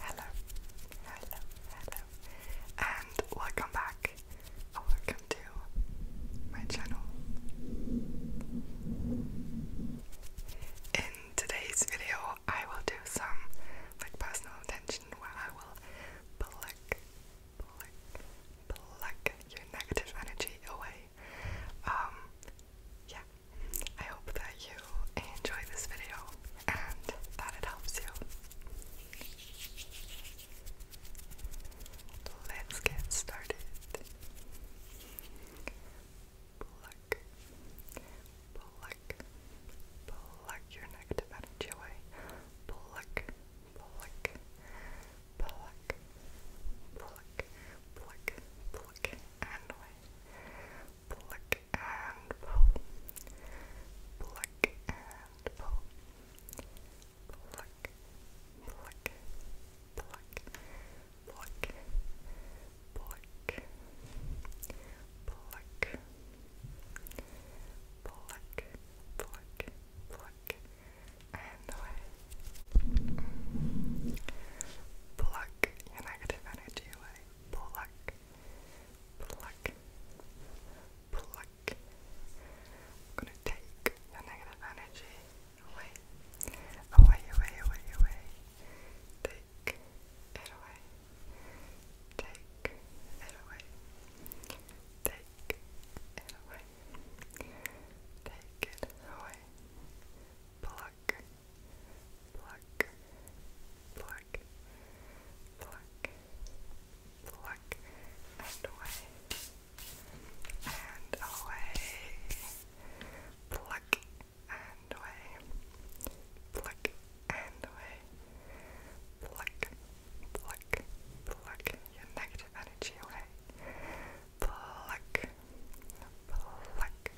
Hello, hello, hello, and welcome back, welcome to my channel. In today's video, I will do some like personal attention where I will pluck, pluck, pluck your negative energy away um, yeah, I hope that you enjoy this video and that it helps you. Let's get started. Pluck, pluck, pluck your negative energy away. Pluck, pluck, pluck, pluck, pluck, pluck and wait, pluck and pull, pluck and pull, pluck, pluck, pluck, pluck, pluck, pluck, pluck, pluck, pluck and away. Pluck your negative energy away. Pluck, pluck, pluck. I'm gonna take your negative energy away, away, away, away, away. Take it away. Take it away. Take Take it away. Take it away. Pluck. Pluck. Pluck. Pluck. Pluck. And away. And away. Pluck and away. Pluck and away. Pluck pluck, pluck your negative energy away. Pluck, pluck, pluck,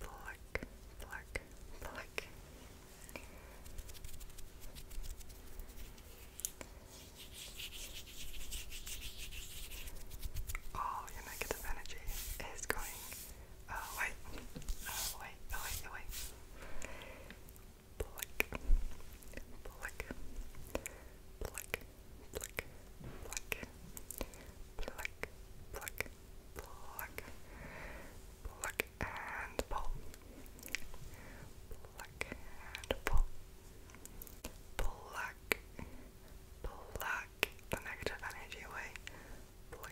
pluck, pluck. All your negative energy is going Oh wait, oh wait, oh wait, oh wait. Pluck, pluck, pluck, pluck, pluck, pluck, pluck, pluck, pluck and pull. Pluck and pull. Pluck, pluck the negative energy away. Pluck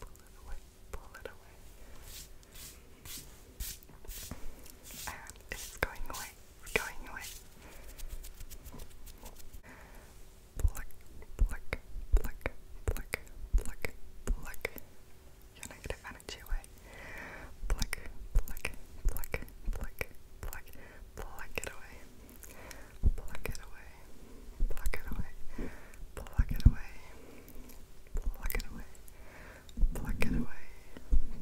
pull it away, pull it away. And it's going away, it's going away. Pluck, pluck, pluck, pluck, pluck, pluck. Your negative energy away. Pluck, pluck, pluck, pluck, pluck, pluck it away pluck it away, pluck it away, pluck it away, pluck it away, pluck it away,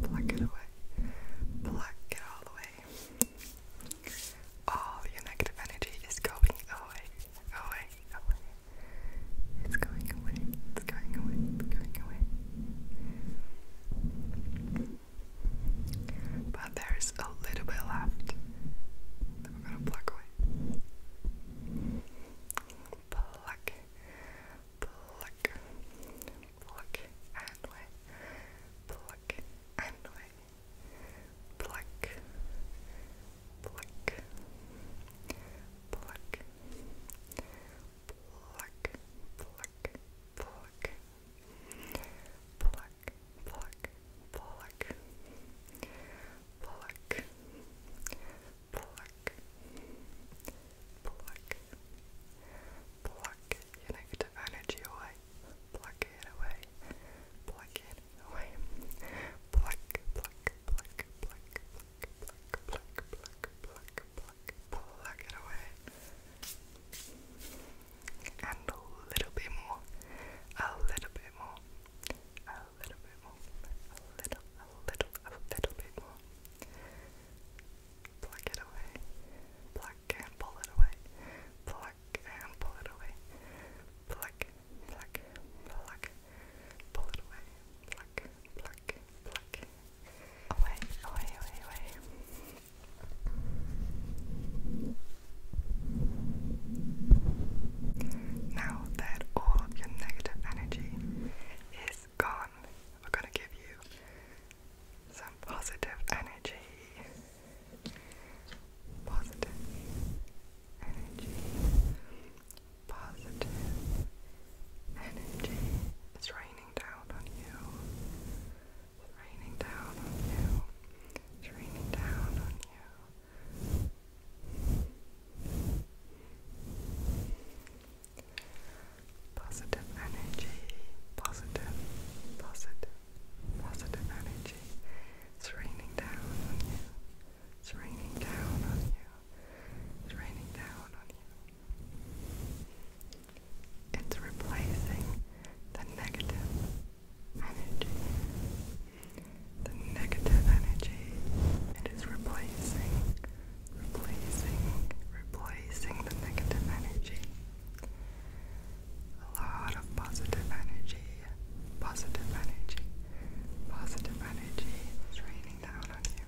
pluck it away, pluck it all the All your negative energy is going away, away, away. It's going away, it's going away, it's going away. But there's a little bit left that we're gonna pluck away. Pluck, pluck, pluck and away. Pluck and away. Pluck, pluck, pluck, pluck, pluck, pluck. Pluck, Pluck, pluck, pluck, pluck, pluck, pluck your negative energy away, pluck it away, pluck it away, pluck, pluck, pluck, pluck, pluck, pluck, pluck, pluck, pluck, pluck it away and a little bit more, a little bit more, a little bit more, a little, a little, a little bit more. Pluck it away, pluck and pull it away, pluck and pull it away, pluck, pluck, pluck, pull it away, pluck, pluck, pluck, now that all your negative energy is gone, we're gonna give you some positive energy. Positive energy. Positive energy. It's raining raining down on you. It's raining down on you. It's raining down on you. Positive energy, positive, positive, positive energy. It's raining down on you. It's raining down on you. It's raining down on you. It's replacing the negative energy. The negative energy. It is replacing, replacing, replacing the negative energy. A lot of positive energy, positive energy, positive energy raining down on you.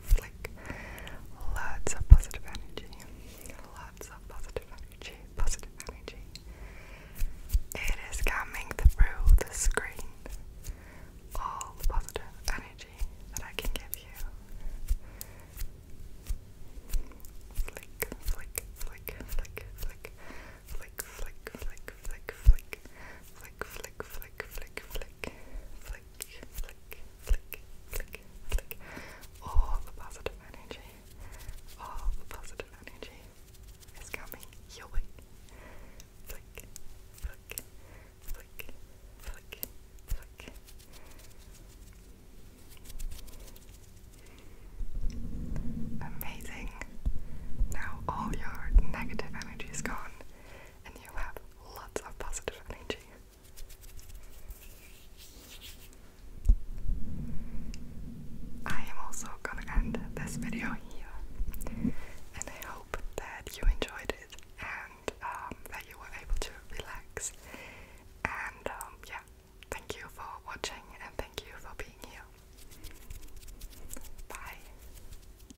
flick. Lots of positive energy. Lots of positive energy. Positive energy. It is coming through the screen. All positive energy that I can give you. flick, flick, flick, flick, flick, flick, flick, flick, flick, flick, flick, flick, flick, flick, flick, flick, all the positive energy, all the positive energy is coming your way. Amazing. Now all your negative energy is gone and you have lots of positive energy. I am also gonna end this video here, and I hope that you enjoyed it and um, that you were able to relax. And um, yeah, thank you for watching and thank you for being here. Bye.